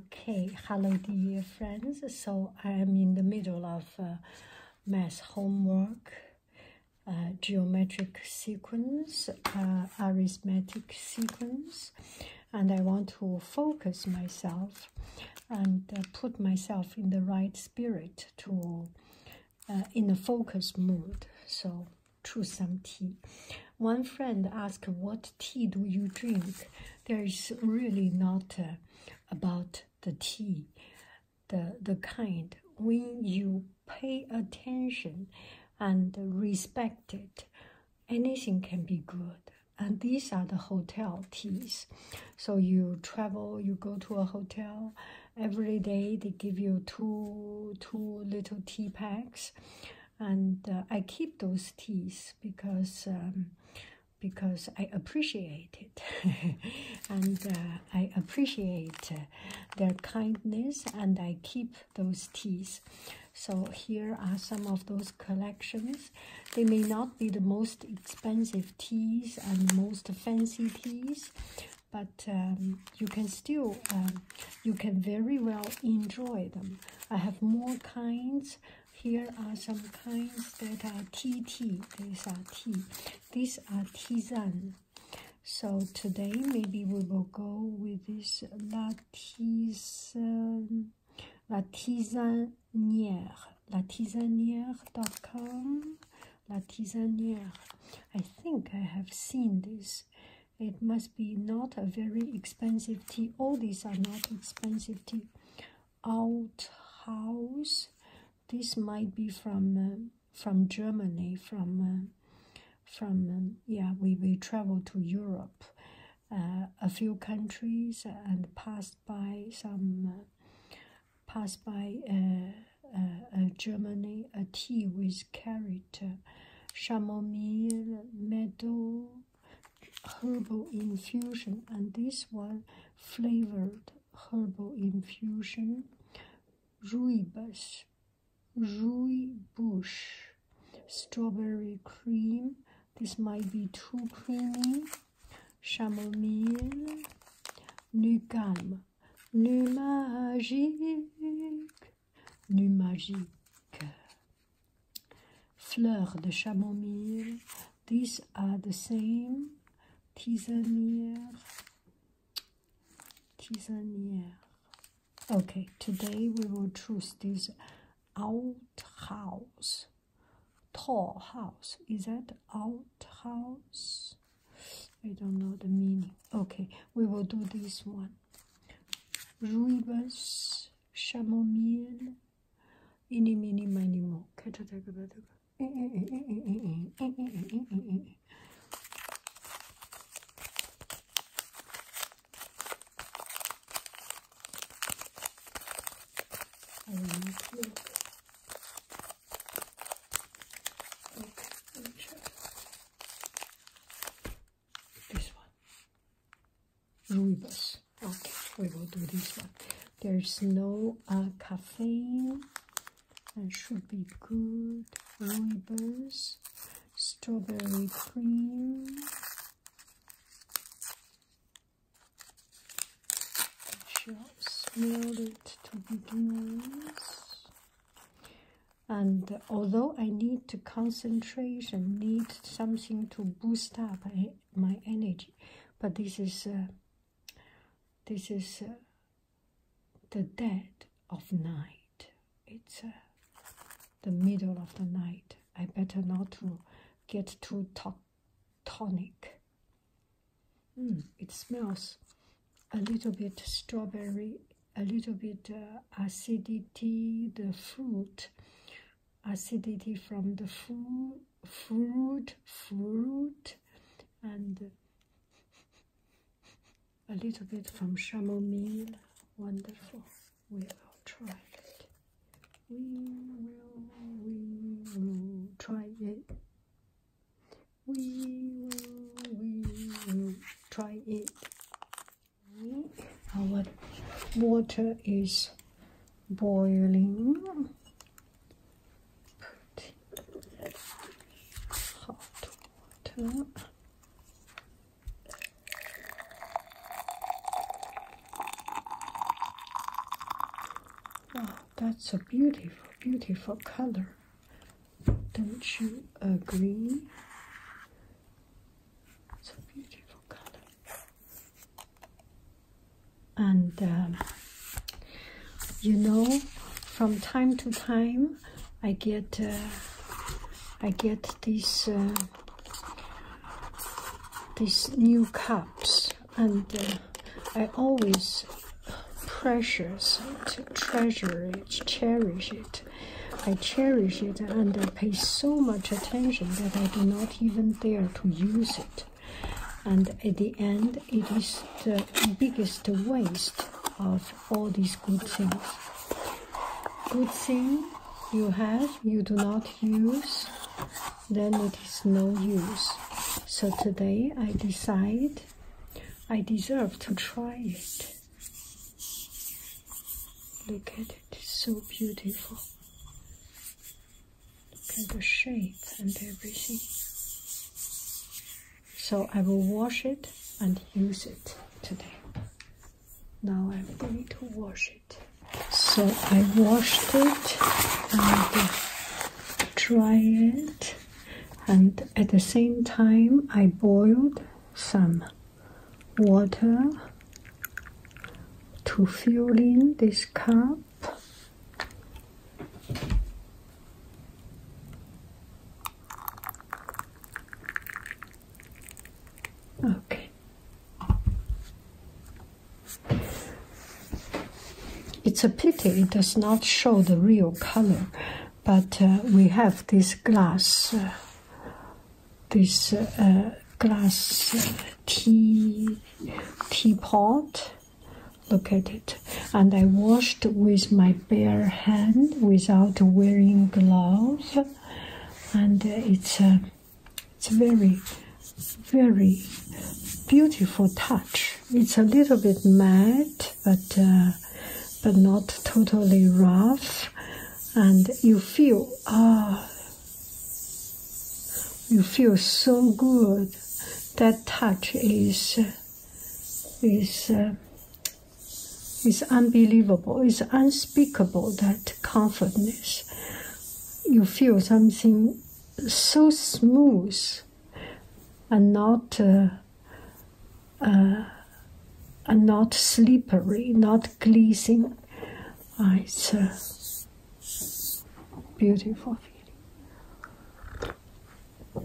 Okay, hello dear friends. So I am in the middle of uh, math homework, uh, geometric sequence, uh, arithmetic sequence, and I want to focus myself and uh, put myself in the right spirit to in a focus mood. So choose some tea. One friend asked, What tea do you drink? There's really not uh, about the tea, the, the kind. When you pay attention and respect it, anything can be good. And these are the hotel teas. So you travel, you go to a hotel, every day they give you two, two little tea packs and uh, I keep those teas because um, because I appreciate it, and uh, I appreciate uh, their kindness, and I keep those teas. So here are some of those collections. They may not be the most expensive teas and most fancy teas, but um, you can still um, you can very well enjoy them I have more kinds. Here are some kinds that are TT. These are T. These are Tizan. So today maybe we will go with this Latizan, Latizanière, latizanière.com, Latizanière. I think I have seen this it must be not a very expensive tea. All these are not expensive tea. Out house. This might be from uh, from Germany. From uh, from um, yeah, we we travel to Europe, uh, a few countries, and passed by some. passed by uh, uh, Germany a tea with carrot chamomile, meadow, herbal infusion, and this one flavored herbal infusion, rooibos, rui bush, strawberry cream. This might be too creamy. Chamomile, new calme, new magic. Nu numagique. Fleur de chamomile. These are the same. Tisanière. Tisanière. Okay, today we will choose this out house. Tall house. Is that out house? I don't know the meaning. Okay, we will do this one. Rooibos, chamomile, ini mini mini mo. I look. Okay, let me show you this one. Amoebus. Okay, we will do this one. There's no uh, caffeine. That should be good. Amoebus. Strawberry cream. Just smell it to begin and although I need to concentrate and need something to boost up my energy, but this is uh, this is uh, the dead of night. It's uh, the middle of the night. I better not to get too tonic. Hmm, it smells a little bit strawberry a little bit uh, acidity, the fruit, acidity from the fruit, fruit, fruit, and a little bit from chamomile. Wonderful. We will try it. We will, we will try it. We will, we will try it. Our water is boiling. hot water. Wow, that's a beautiful, beautiful color. Don't you agree? It's a beautiful color. And um, you know, from time to time, I get uh, I get these uh, these new cups, and uh, I always precious to treasure it, cherish it. I cherish it and I pay so much attention that I do not even dare to use it. And at the end, it is the biggest waste of all these good things. Good thing you have, you do not use, then it is no use. So today I decide I deserve to try it. Look at it, it's so beautiful. Look at the shape and everything. So I will wash it and use it today. Now I'm going to wash it. So I washed it and dry it and at the same time I boiled some water to fill in this cup. Okay. It's a pity it does not show the real color, but uh, we have this glass. Uh, this uh, glass tea teapot. Look at it. And I washed with my bare hand without wearing gloves. And uh, it's a uh, it's very very beautiful touch. It's a little bit matte, but but not totally rough, and you feel ah, you feel so good. That touch is is. Uh, it's unbelievable. It's unspeakable that comfortness. You feel something so smooth and not uh, uh, and not slippery, not glazing. Uh, it's a beautiful feeling.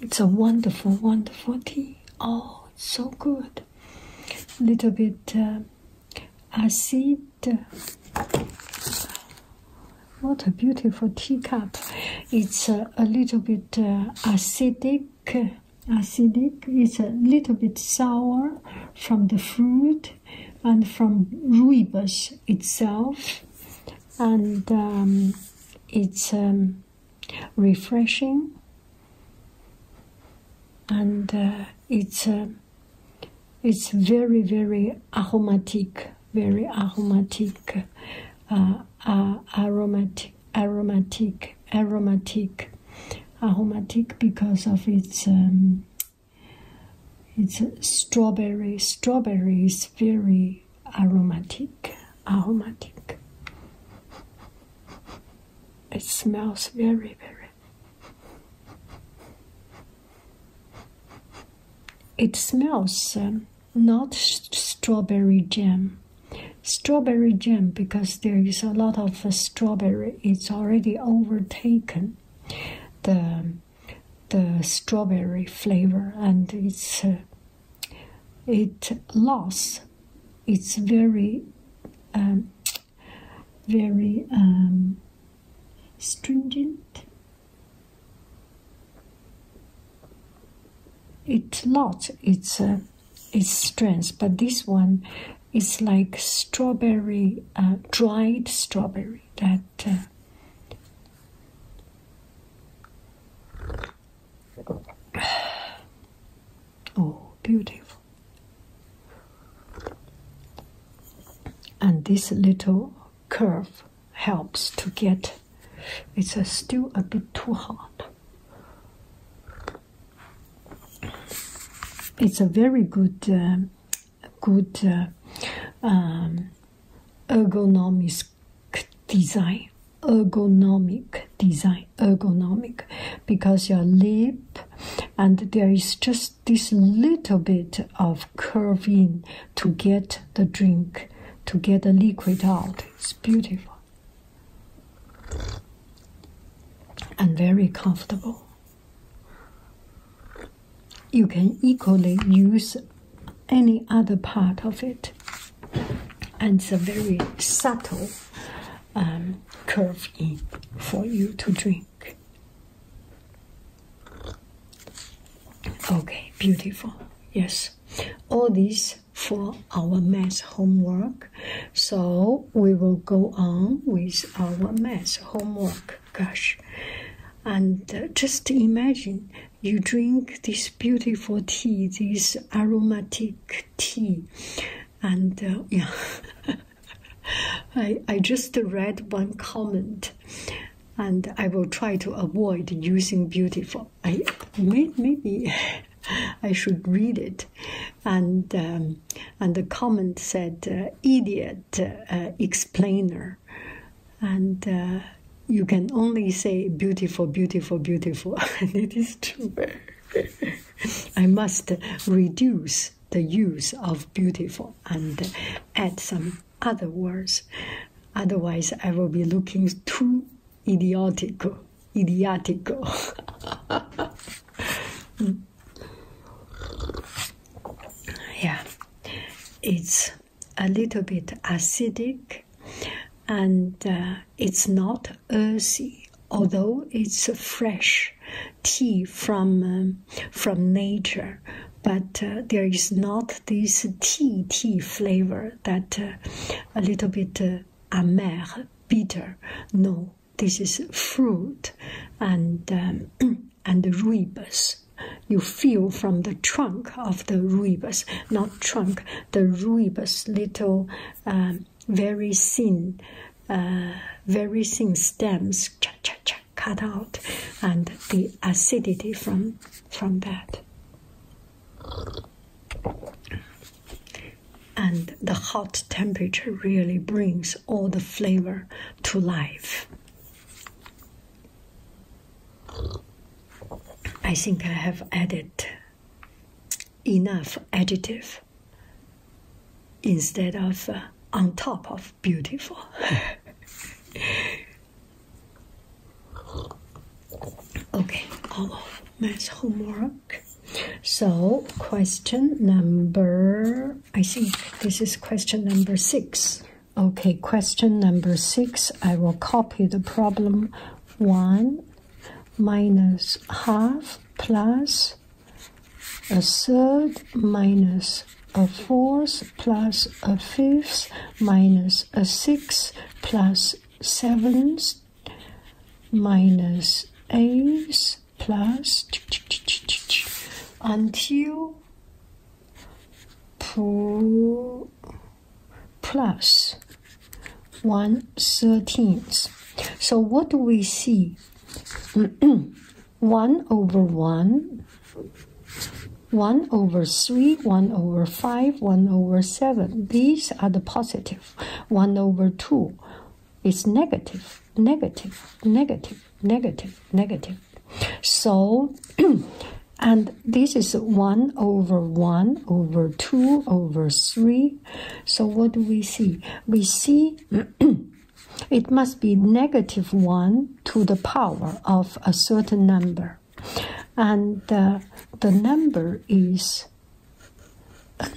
It's a wonderful, wonderful tea. Oh, so good. A Little bit uh, acidic. What a beautiful teacup. It's uh, a little bit acidic acidic it's a little bit sour from the fruit and from rooibos itself and um, it's um, refreshing and uh, it's uh, it's very very aromatic very aromatic uh, aromatic aromatic, aromatic, aromatic, because of its um, it's strawberry. Strawberry is very aromatic, aromatic. It smells very, very. It smells um, not strawberry jam strawberry jam because there is a lot of uh, strawberry it's already overtaken the the strawberry flavor and it's uh, it lost it's very um, very um, stringent It's lost its uh, its strength, but this one is like strawberry, uh, dried strawberry that. Uh, oh, beautiful. And this little curve helps to get it's still a bit too hot. It's a very good, um, good uh, um, ergonomic design. Ergonomic design, ergonomic, because your lip, and there is just this little bit of curve in to get the drink, to get the liquid out. It's beautiful and very comfortable. You can equally use any other part of it. And it's a very subtle um, curve in for you to drink. Okay, beautiful. Yes, all these for our math homework. So we will go on with our math homework. Gosh. And uh, just imagine you drink this beautiful tea, this aromatic tea. And uh, yeah, I, I just read one comment and I will try to avoid using beautiful. I maybe I should read it, and um, and the comment said uh, idiot uh, uh, explainer, and you can only say beautiful, beautiful, beautiful, and it is true. I must reduce the use of beautiful and add some other words. Otherwise, I will be looking too idiotico, idiotico. yeah, it's a little bit acidic and uh, it's not earthy, although it's fresh tea from, um, from nature. But uh, there is not this tea tea flavor that uh, a little bit amer, bitter. No, this is fruit and, um, and ribs. You feel from the trunk of the ribs, not trunk, the ribs, little, um, very thin, uh, very thin stems, cha cha cha, cut out, and the acidity from from that. And the hot temperature really brings all the flavor to life. I think I have added enough adjective instead of uh, on top of beautiful. Okay, all math homework. So, question number, I think this is question number six. Okay, question number six, I will copy the problem one minus half plus a third minus a fourth plus a fifth minus a sixth plus sevens minus eights plus until plus 1 13th. So what do we see? 1 over 1, 1 over 3, 1 over 5, 1 over 7. These are the positive. 1 over 2 is negative, negative, negative, negative, negative. So, and this is 1 over 1 over 2 over 3. So what do we see? We see it must be negative 1 to the power of a certain number and the number is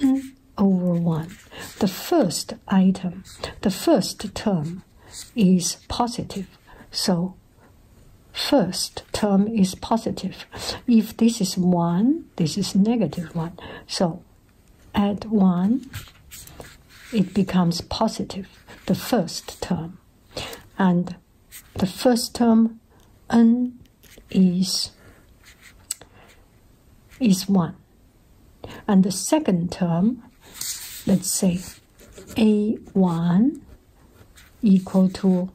n over 1. The first item, the first term is positive, so first term is positive. If this is 1, this is negative 1. So add 1, it becomes positive, the first term. And the first term n is is 1 and the second term let's say a1 equal to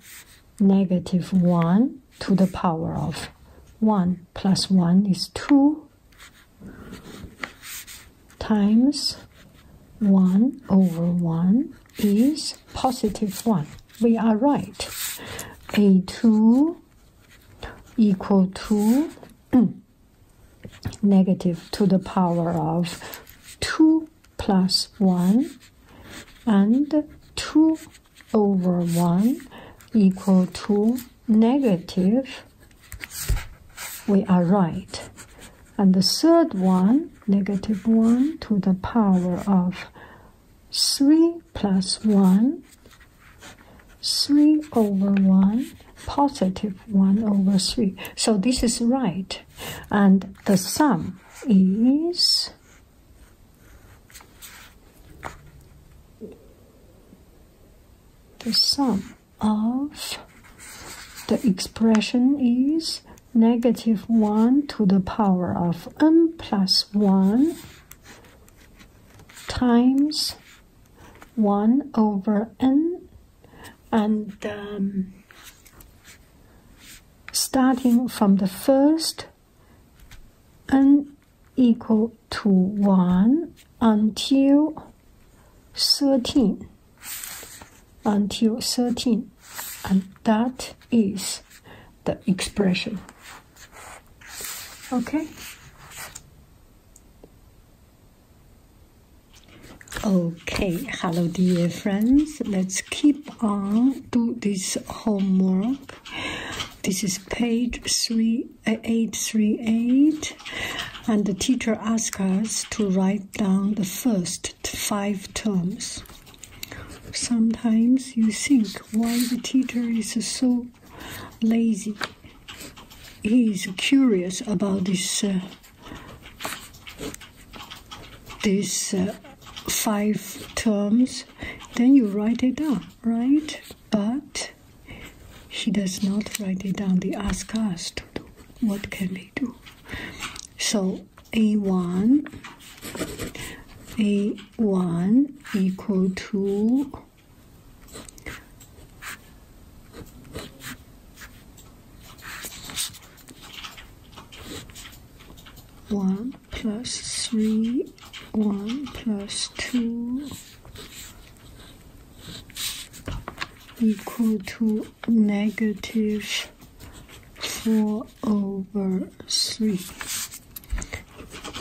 negative 1 to the power of 1 plus 1 is 2 times 1 over 1 is positive 1. We are right. A2 equal to negative to the power of 2 plus 1 and 2 over 1 equal to negative, we are right, and the third one, negative 1 to the power of 3 plus 1, 3 over 1, positive 1 over 3. So this is right. And the sum is the sum of the expression is negative 1 to the power of n plus 1 times 1 over n and um, starting from the first n equal to 1 until 13 until 13, and that is the expression. Okay? Okay, hello dear friends. Let's keep on do this homework. This is page 3838 uh, and the teacher asks us to write down the first five terms. Sometimes you think why the teacher is so lazy. He is curious about this uh, this uh, five terms. Then you write it down, right? But he does not write it down. The ask us do. What can we do? So a1 a1 equal to one plus three one plus two equal to negative 4 over 3.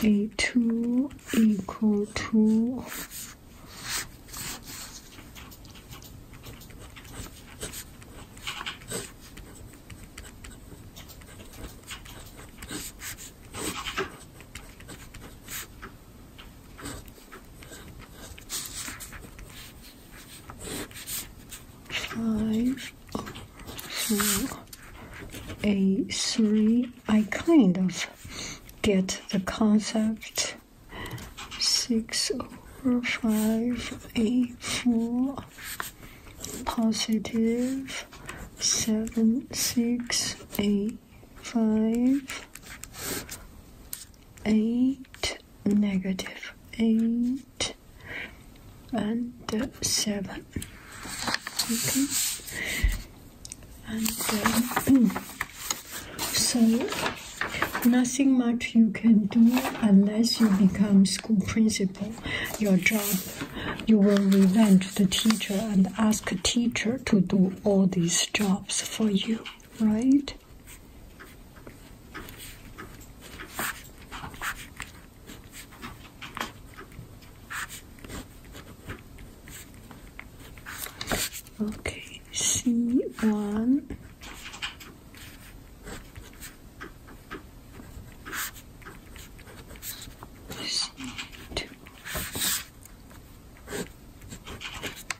A2 equal two. Five, three. I kind of get the concept. Six over five, four. Seven, six, five, eight, four, positive, five. 8, negative 8, and 7. Okay. And um, then, so nothing much you can do unless you become school principal. Your job, you will revenge the teacher and ask teacher to do all these jobs for you right? Okay, C1 C2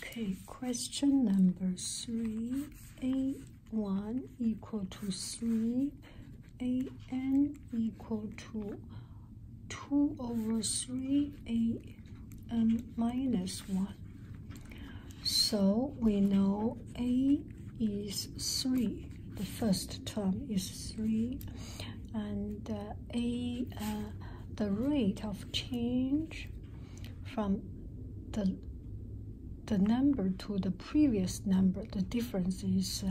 Okay, question number three. A1 equal to 3 an equal to 2 over 3 an minus 1. So we know a is 3. The first term is 3. And uh, a, uh, the rate of change from the the number to the previous number, the difference is uh,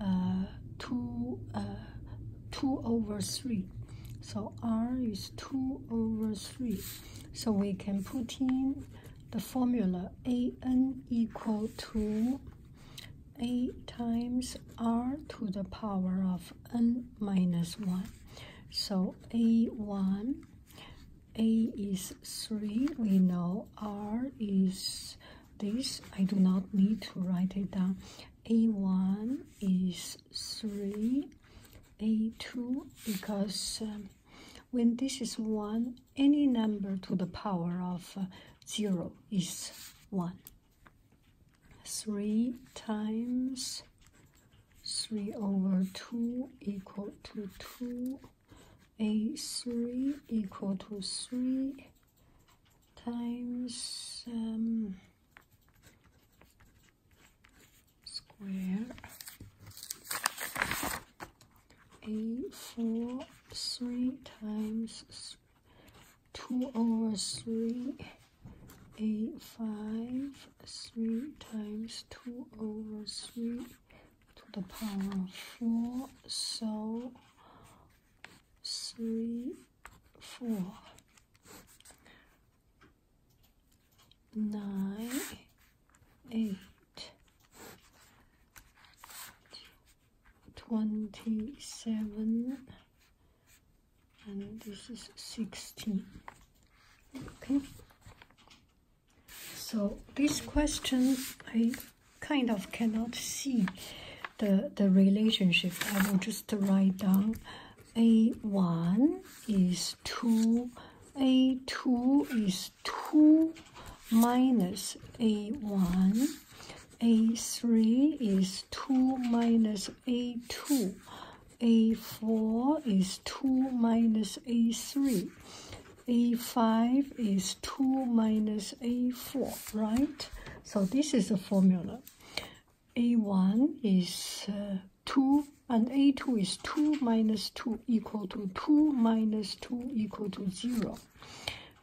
uh, 2 uh, 2 over 3 so r is 2 over 3 so we can put in the formula an equal to a times r to the power of n minus 1 so a1 a is 3 we know r is this I do not need to write it down. A1 is 3, A2 because um, when this is 1, any number to the power of uh, 0 is 1. 3 times 3 over 2 equal to 2. A3 equal to 3 times um, square a four three times two over three a five three times two over three to the power of four so three, four, nine, eight, twenty-seven, and this is sixteen. Okay. So this question I kind of cannot see the the relationship. I will just write down a1 is 2, a2 is 2 minus a1, a3 is 2 minus a2, a4 is 2 minus a3, a5 is 2 minus a4, right? So this is the formula. a1 is uh, 2 and a2 is 2 minus 2 equal to 2 minus 2 equal to 0.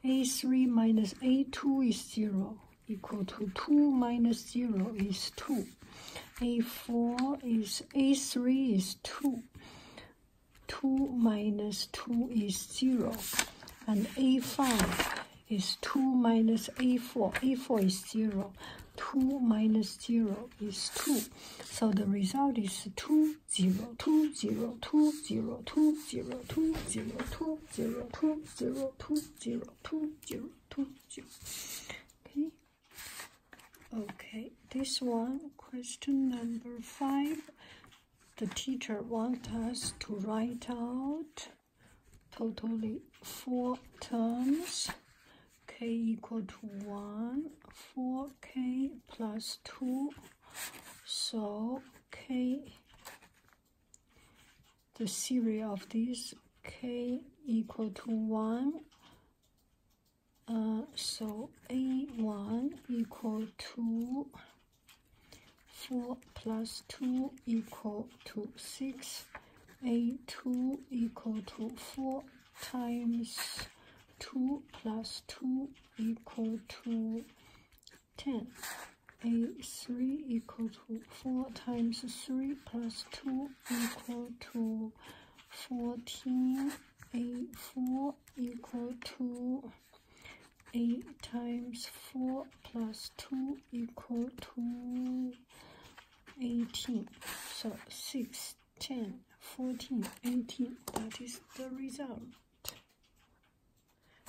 a3 minus a2 is 0 equal to 2 minus 0 is 2. a4 is a3 is 2. 2 minus 2 is 0. And A5 is 2 minus A4. A4 is 0. 2 minus 0 is 2. So the result is 2, 0, 2, 0, 2, 0, 2, 0, 2, 0, 2, 0, 2, 0, 2, 0, 2, 0, 2, 0. Okay. Okay, this one, question number 5 the teacher wants us to write out totally four terms k equal to 1 4k plus 2 so k the series of these k equal to 1 uh, so a1 equal to 4 plus 2 equal to 6. A2 equal to 4 times 2 plus 2 equal to 10. A3 equal to 4 times 3 plus 2 equal to 14. A4 equal to 8 times 4 plus 2 equal to 18. So 6, 10, 14, 18. That is the result.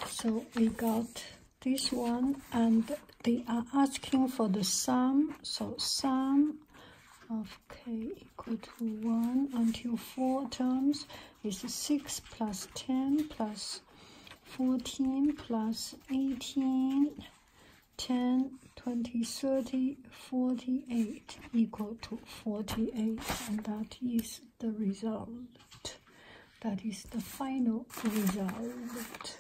So we got this one and they are asking for the sum. So sum of k equal to 1 until 4 terms is 6 plus 10 plus 14 plus 18, 10, 20, 30, 48 equal to 48. And that is the result. That is the final result.